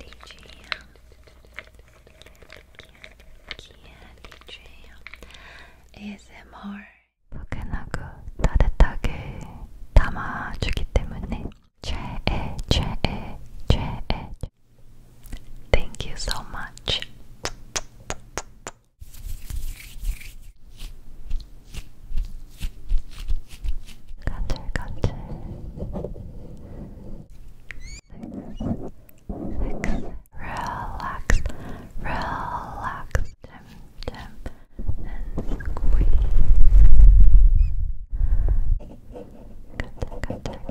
Candy jam, candy jam. ASMR 포근하고 따뜻하게 담아주기 때문에 최애 Thank you so much. 간질간질 six, six, relax, relax dim, dim, and squeeze 간질, 간질, 간질, 간질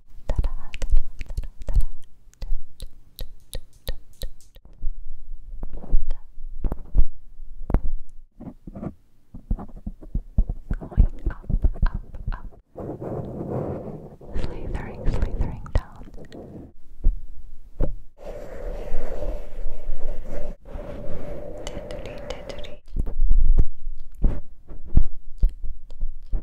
Going up, up, up. Slithering, slithering down. Tiddly, tiddly. Tiddly, tiddly.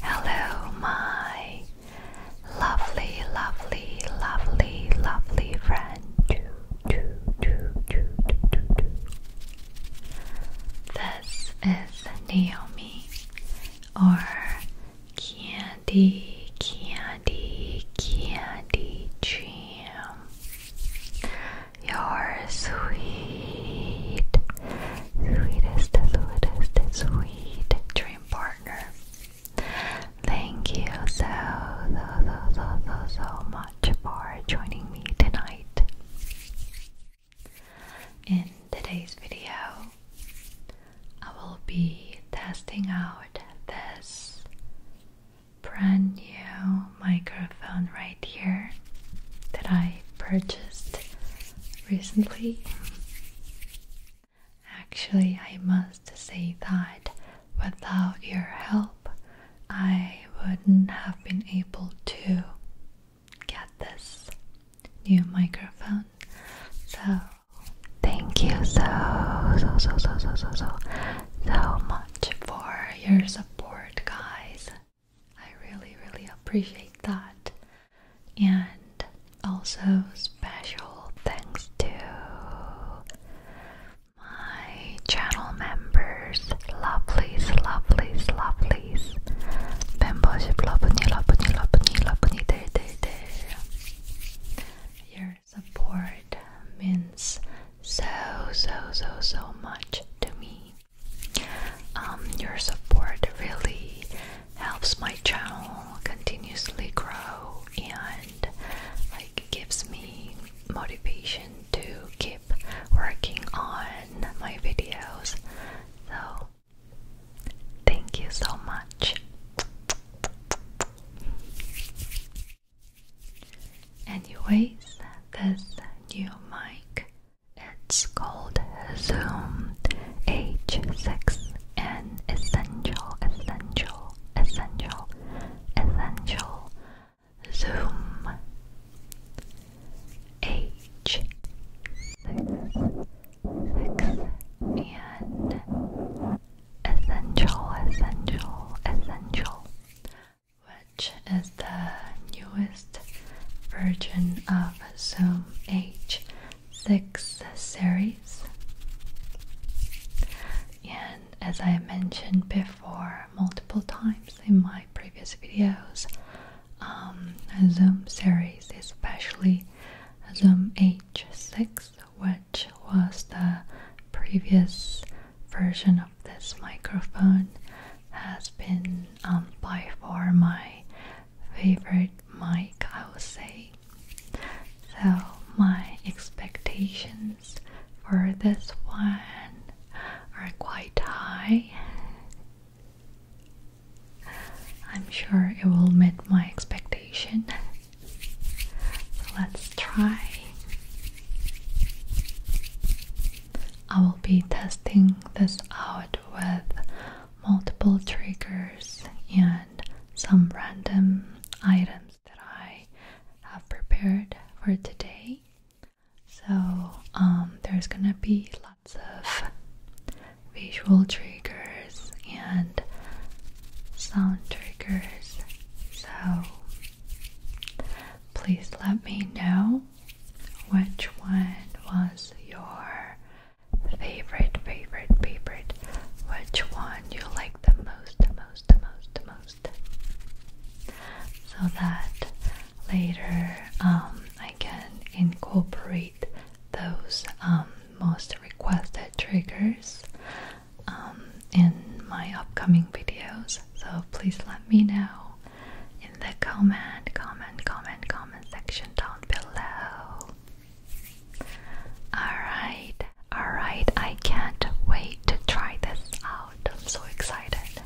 Hello, my lovely, lovely, lovely, lovely friend. This is Naomi or Candy, Candy, Candy Jam. are sweet sweetest, sweetest, sweet dream partner. Thank you so, so, so, so, so, so much for joining me tonight. In today's video, I will be testing out this brand new microphone right here that I purchased recently. Actually, I must say that without your help, I wouldn't have been able to get this new microphone. So, thank you so, so, so, so, so, so, so, so much for your support, guys. I really, really appreciate that. And also special thanks to my channel members, lovelies, lovelies, lovelies. 멤버십 러브니 러브니 러브니 러브니들들들. Your support means so so so so much to me. Um, your support really helps my channel continuously grow and like gives me motivation to keep working on my videos. So, thank you so much. Anyways, this new mic it's called Zoom H6 an essential, essential, essential, essential Zoom H6 6 essential, essential, essential which is the newest version of Zoom H 6 series. And as I mentioned before multiple times in my previous videos, um, Zoom series, especially Zoom H6, which was the previous version of this microphone, has been um, by far my favorite mic, I would say. So, my expectations for this one are quite high. I'm sure it will meet my expectation. let's try. I will be testing this out with multiple triggers and some random items that I have prepared for today. So, um, there's gonna be lots of visual triggers and sound triggers. So, please let me know which one was your favorite, favorite, favorite. Which one you like the most, the most, the most, the most. So that later um, I can incorporate those um, most requested triggers um, in my upcoming videos. So please let me know in the comment, comment, comment, comment section down below. Alright, alright, I can't wait to try this out. I'm so excited.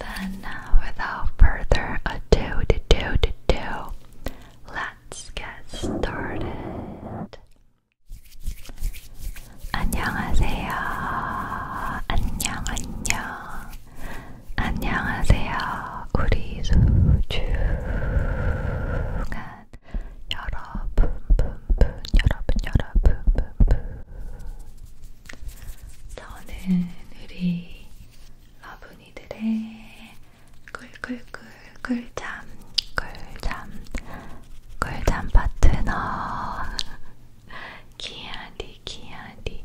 Then, uh, without further ado, to do, to do, let's get started. 안녕하세요. 안녕, 안녕. 안녕하세요. 우리 소중한 여러분, 분분, 여러분, 여러분, 분분. 저는 우리 러분이들의 꿀꿀꿀 꿀잠, 꿀잠, 꿀잠 파트너. 기아디, 기아디,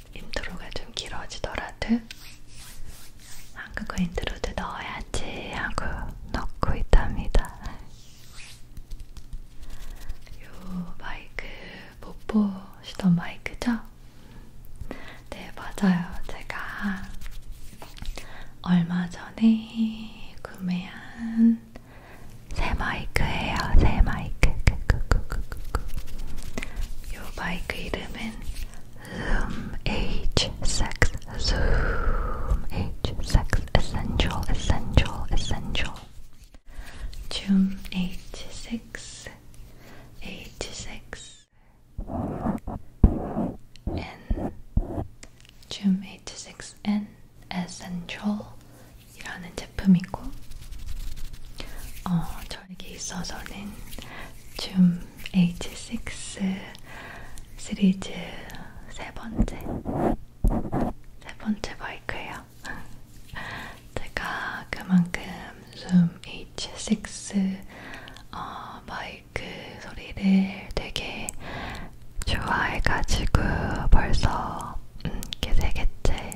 인트로가 좀 길어지더라도 한국어 인트로도 넣어야지 하고 넣고 있답니다. 요 마이크 못 보시던 마이크죠? 네 맞아요. 제가 얼마 전에 구매한 새 마이크예요. 새 마이크. 그, 그, 그, 그. You bike vitamin Zoom H six, Zoom H six, essential essential essential Zoom H six H six N Zoom H six N essential 이라는 제품이고 어, 저에게 있어서는 줌 H6 시리즈 세 번째 세 번째 마이크예요. 제가 그만큼 줌 H6 어, 마이크 소리를 되게 좋아해가지고 벌써 음, 이렇게 세 개째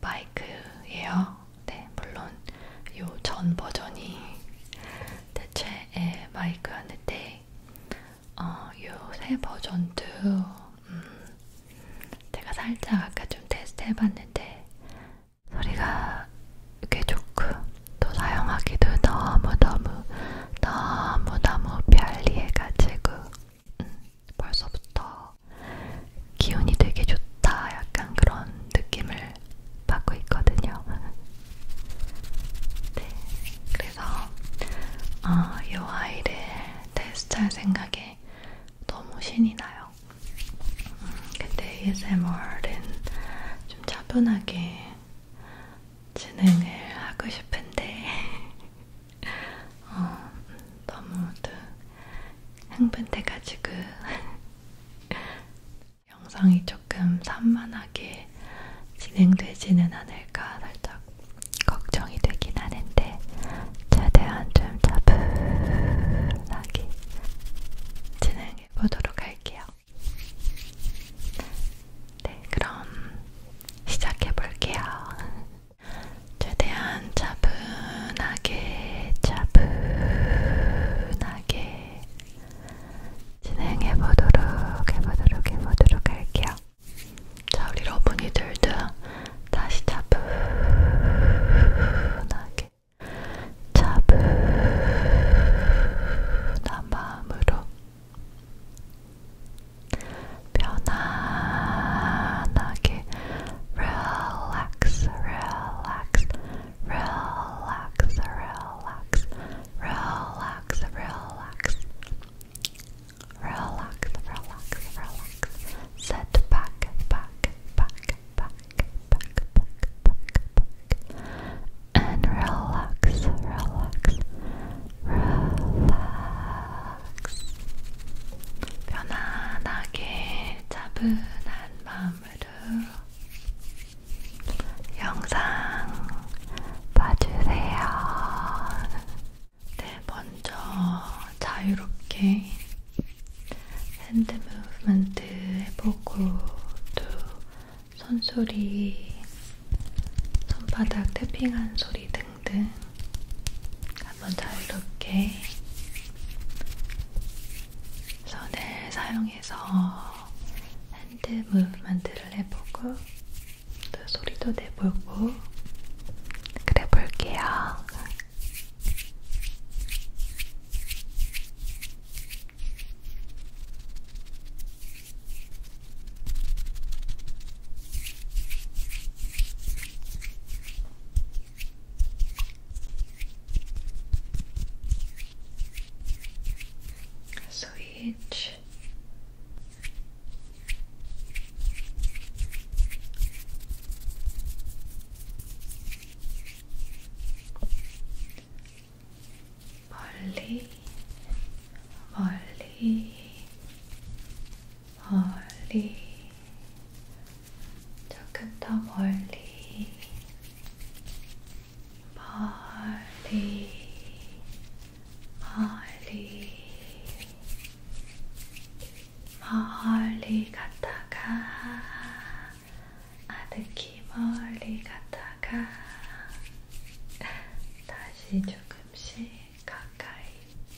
바이크예요. 네, 물론 요 전 버전이 대체의 마이크였는데 예, 어, 요 새 버전도 음, 제가 살짝 아까 좀 테스트해봤는데 소리가 꽤 좋고 또 사용하기도 너무너무 너무너무 편리해가지고 음, 벌써부터 기운이 되게 좋다 약간 그런 느낌을 받고 있거든요. 네, 그래서 아, 이 아이를 테스트할 생각에 너무 신이 나요. 음, 근데 ASMR은 좀 차분하게 진행을 하고 싶은데 어, 너무도 흥분돼가지고 영상이 조금 산만하게 진행되지는 않을까 살짝 걱정이 되긴 하는데 최대한 좀 차분하게 진행해 보도록 할게요. 네, 그럼 시작해 볼게요. 최대한 차분하게 차분하게 진행해 보도록 해보도록 해보도록 할게요. 자 우리 러분이들도 다시 차분하게 차분한 마음으로 편안하게 relax, relax, relax, relax, relax, relax, relax, relax, relax. Set back, back, back, back, back, back, back, back, and relax, relax, relax. relax. 편안하게 차분한 마음으로 영상 봐주세요. 네, 먼저 자유롭게 핸드 무브먼트 해보고 또 손소리, 손바닥 태핑한 소리 등 등등 네. 한번 자유롭게 손을 사용해서 핸드 무브먼트를 해보고 또 소리도 내보고 그래 볼게요. So each 멀리 멀리, 조금 더 멀리, 멀리, 멀리, 멀리 갔다가, 아득히 멀리 갔다가, 다시 조금씩 가까이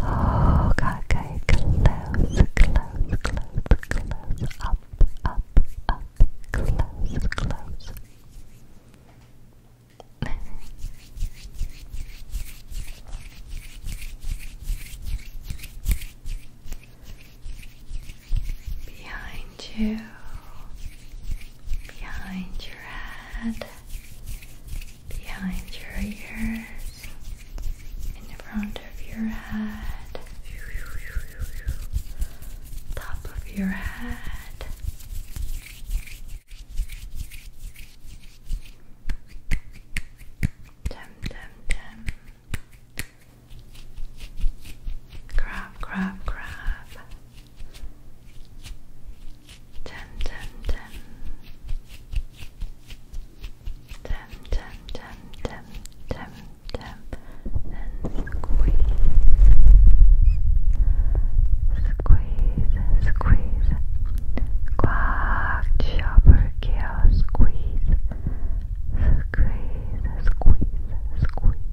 Oh, okay, close, close, close, close, up, up, up, close, close. Behind you, behind your head, behind your ears, in the front of your head, top of your head, tem grab grab grab, tem Tap, tap, tap, tap, tap, tap, and squeeze. Squeeze, squeeze. Quack, chopper, cow, squeeze. Squeeze, squeeze, squeeze.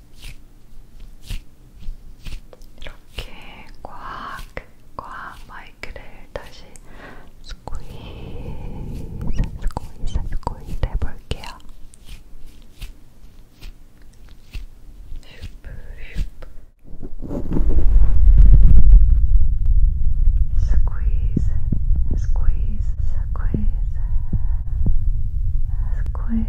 이렇게 꽉, 꽉 마이크를 다시 스퀴즈, 스퀴즈, 스퀴즈 해볼게요. 슈프, 슈프. Squeeze, squeeze, squeeze, squeeze.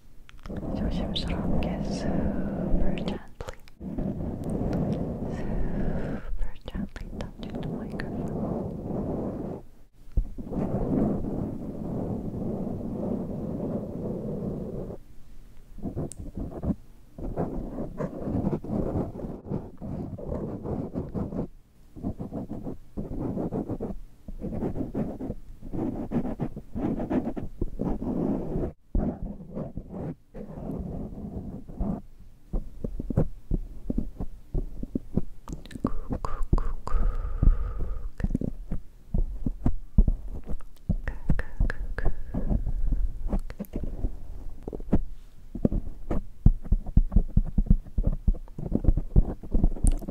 조심스럽게 super gently super gently touching the microphone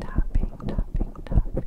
Tapping, tapping, tapping.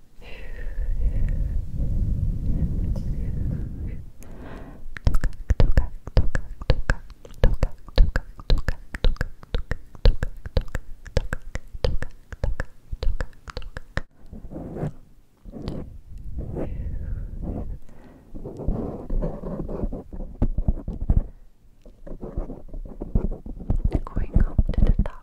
going up to the top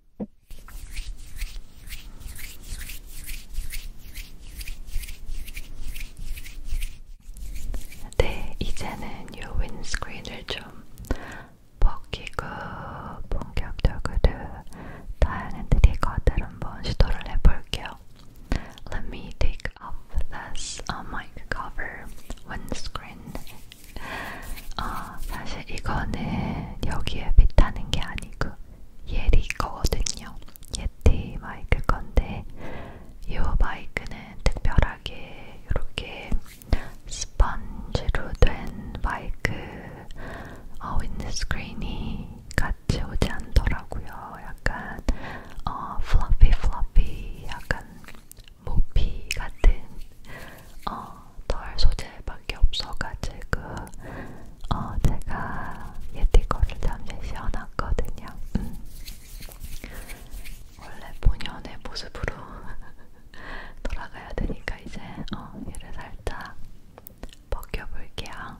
네, 이제는 요 윈스크린을 좀 벗기고 본격적으로 다양한 트리거들 한번 시도를 해볼게요. Let me take off this mic cover windscreen 어, 사실 이거는 여기에 비타는 게 아니고 예리 거거든요. 예티 마이크 건데 이 마이크는 특별하게 이렇게 스펀지로 된 마이크 어, 윈드스크린이 같이 오지 않더라고요. 약간 어, 플러피 플러피 약간 모피 같은 어, 덜 소재밖에 없어가지고 어, 제가 예티 거를 잠시 씌워놨거든요. 음. 원래 본연의 모습으로 돌아가야 되니까 이제 어, 얘를 살짝 벗겨볼게요.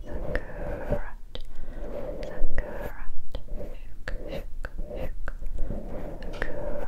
the carrot, the carrot, shook, shook, shook, the carrot, the carrot.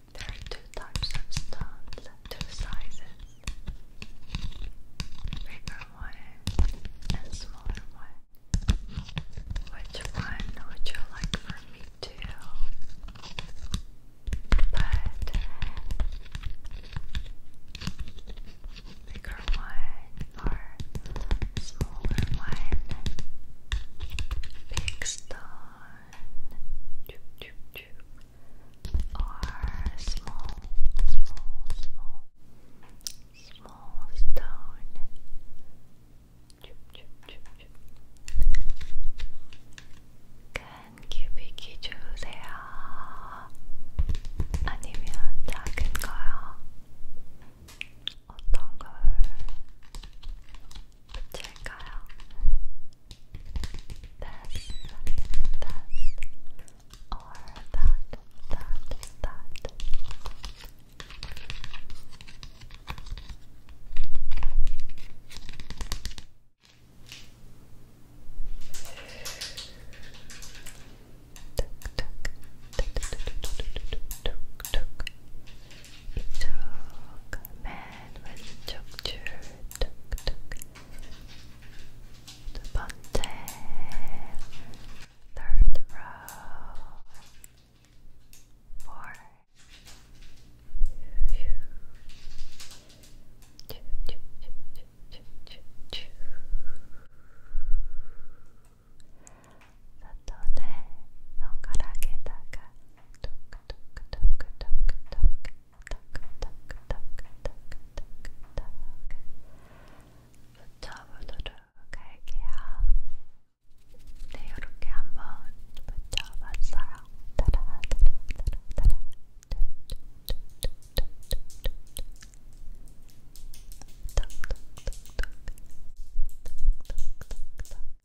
There are two types of stones, two sizes. Bigger one and smaller one. Which one would you like for me to? But bigger one or smaller one? Big stone choo, choo, choo, are small, small, small, small stone. Choo, choo, choo, choo. 큰 큐빅이 주세요. 아니면 작은 거요. 어떤 걸 check out this, this, or that, that, that. Tick, tick, tick, tick, tick, tick, tick, tick, 조금만 왼쪽 줄 툭툭 두 번째 third row four 사턴을 손가락에다가 톡톡 붙여보도록 할게요. 네, 이렇게 한번 붙여봤어요. 따라, 따라, 따라, 따라. 톡톡톡톡. 톡톡톡톡.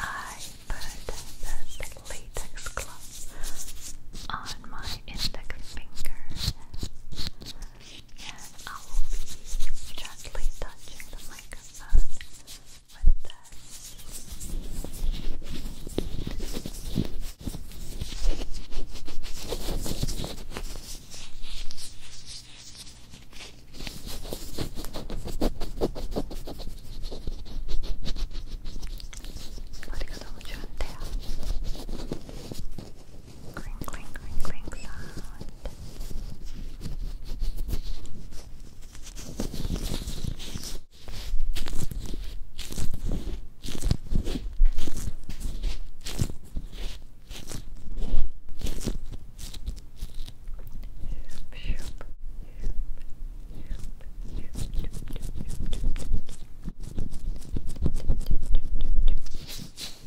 I put this latex glove on my index finger and I will be gently touching the microphone with this. 머리가 너무 clink, clink, clink, clink sound. Good.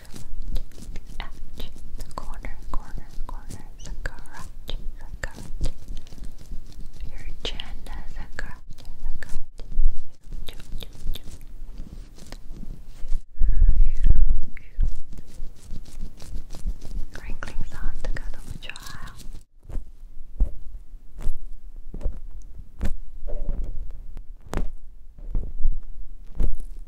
edge, the corner, corner, corner, the garage, Your chin, the garage, the garage. Crinkling sound to go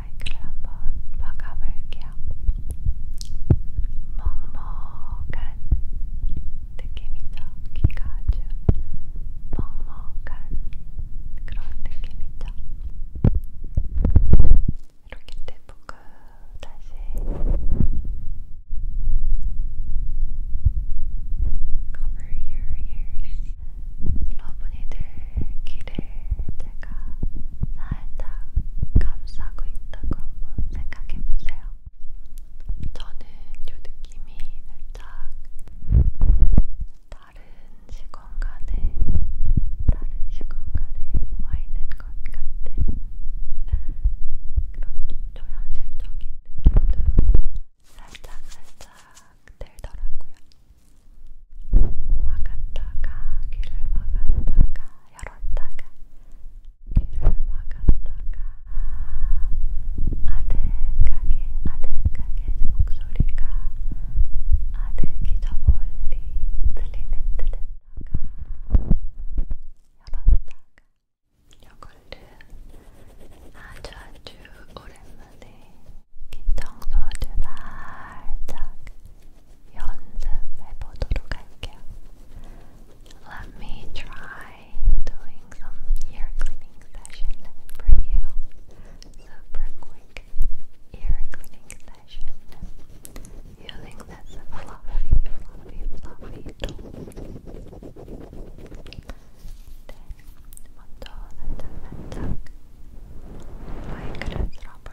마이크를 한번 막아볼게요. 먹먹한 느낌이죠. 귀가 아주 먹먹한 그런 느낌이죠. 이렇게 떼보고 다시 Cover your ears 러분이들 귀 귀를 제가 살짝 감싸고 있다고 한번 생각해보세요. 저는 이 느낌이 살짝 다른 시공간에 다른 시공간에 와 있는 것 같은 그런 좀 초현실적인 느낌도 살짝 살짝 들더라고요. 막았다가 귀를 막았다가 열었다가 귀를 막았다가 아득하게 아득하게 내 목소리가 아득히 저 멀리 들리는 듯 했다가 열었다가 요걸는 아주 아주 오랜만에 귀청소주 살짝 연습해 보도록 할게요. Let me try doing some ear cleaning session for you. Super quick ear cleaning session using this fluffy, fluffy, fluffy tool. 네, 먼저 살짝 살짝 마이크를 들어볼게요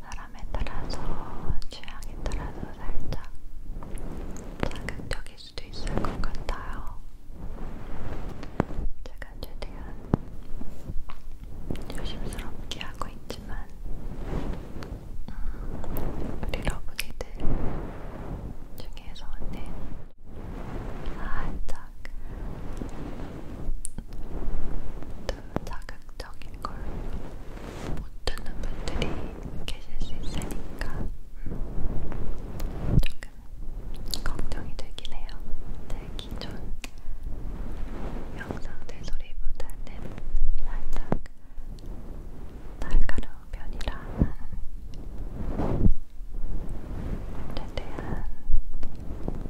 사람에 따라서 취향에 따라서 살짝 자극적일 수도 있을 것 같아요. 제가 최대한 조심스럽게 하고 있지만 음, 우리 러브기들 중에서는 살짝 또 자극적인 걸 못 듣는 분들이 계실 수 있으니까 음, 조금 걱정이 되긴 해요. 제 기존 영상들 소리보다는 살짝 날카로운 편이라 최대한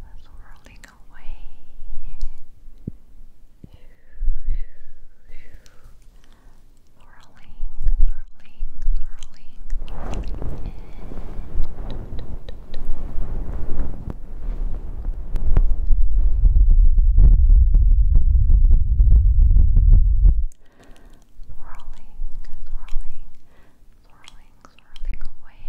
was rolling away. swirling, swirling, swirling Swirling, swirling, swirling, swirling away.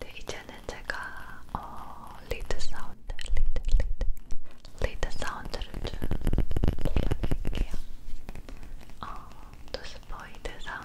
네, 이제는 제가 어, 리드 사운드, 리드, 리드, 리드 사운드를 좀 들려드릴게요. 어, 노스보이드 사운드.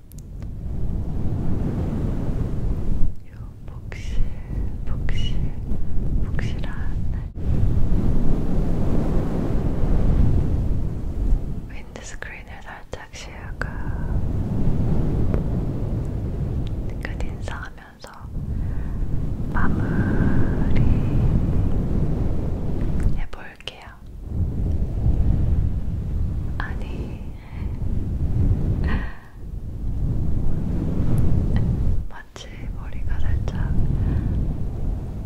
요 복실, 복실, 복실한 윈드스크린을 살짝 시야가 끝 인사하면서 마무리 해볼 볼게요. 아니, 마치 머리가 살짝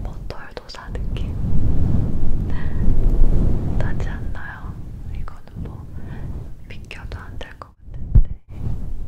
버털도사 느낌 나지 않나요? 이거는 뭐 비켜도 안 될 것 같은데. 음.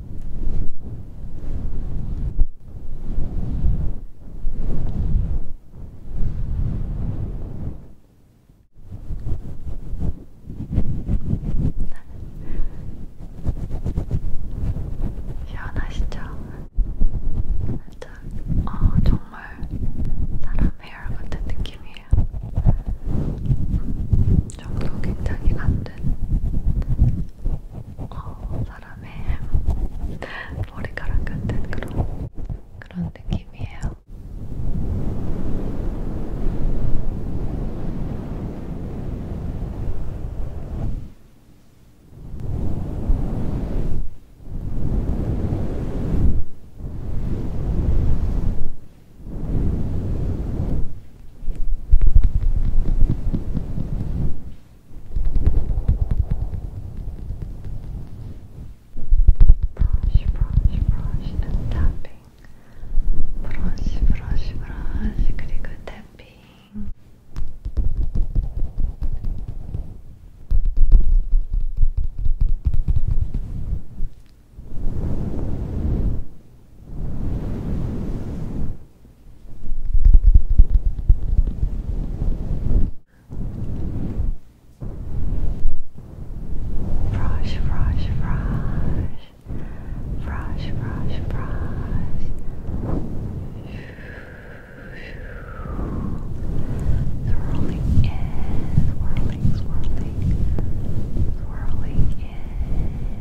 시원하시죠? 아, 어, 정말 사람 헤어 같은 느낌이에요. 감정도 굉장히 감된 어, 사람의 머리카락 같은 그런 그런 느낌이에요. Brush, brush, brush, and tapping. Brush, brush, brush, 그리고 tapping. 자, Brush, brush, brush. Brush, brush, brush. Swirling in, swirling, swirling, swirling in.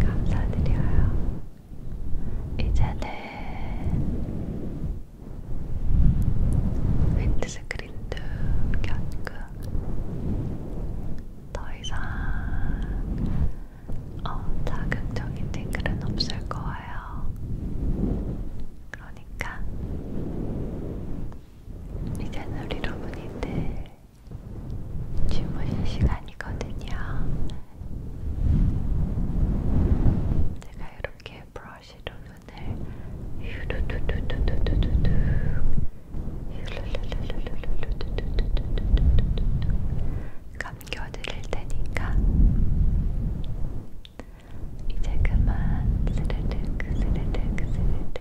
감사드려요. 이제는 윈드스크린도 켰고 더 이상 어, 자극적인 댓글은 없을 거예요. 그러니까 이제는 우리 여러분이들 주무실 시간이거든요. 제가 이렇게 브러쉬로 눈을 휴루두두두두두두두 감겨드릴 테니까 이제 그만 스르륵 스르륵 스르륵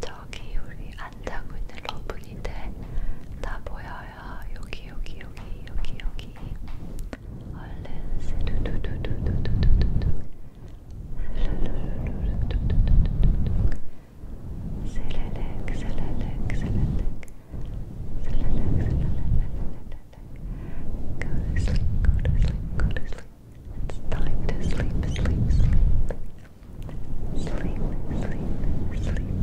저기 우리 안 자고 있는 러브기들 다 보여요. 여기 여기 여기 여기 여기. 얼른 스르르르르르르르 슬르르르르르르르 슬르륵 슬르륵 슬르륵 Go to sleep, go to sleep, go to sleep. It's time to sleep, sleep, sleep. Sleep, sleep, sleep, sleep.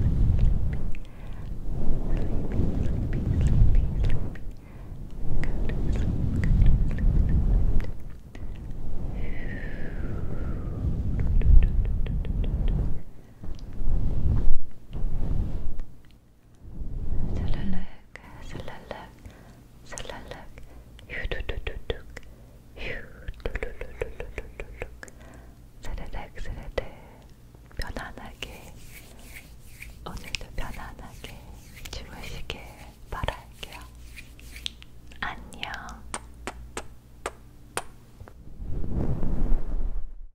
Sleepy, sleepy, sleepy, sleepy. Go to sleep, go to sleep, sleep. sleep. 슬랄락 슬랄락 슬랄락 휴두두두둑 휴루루루루루룩 스르륵 스르륵 편안하게 오늘도 편안하게 주무시길 바랄게요. 안녕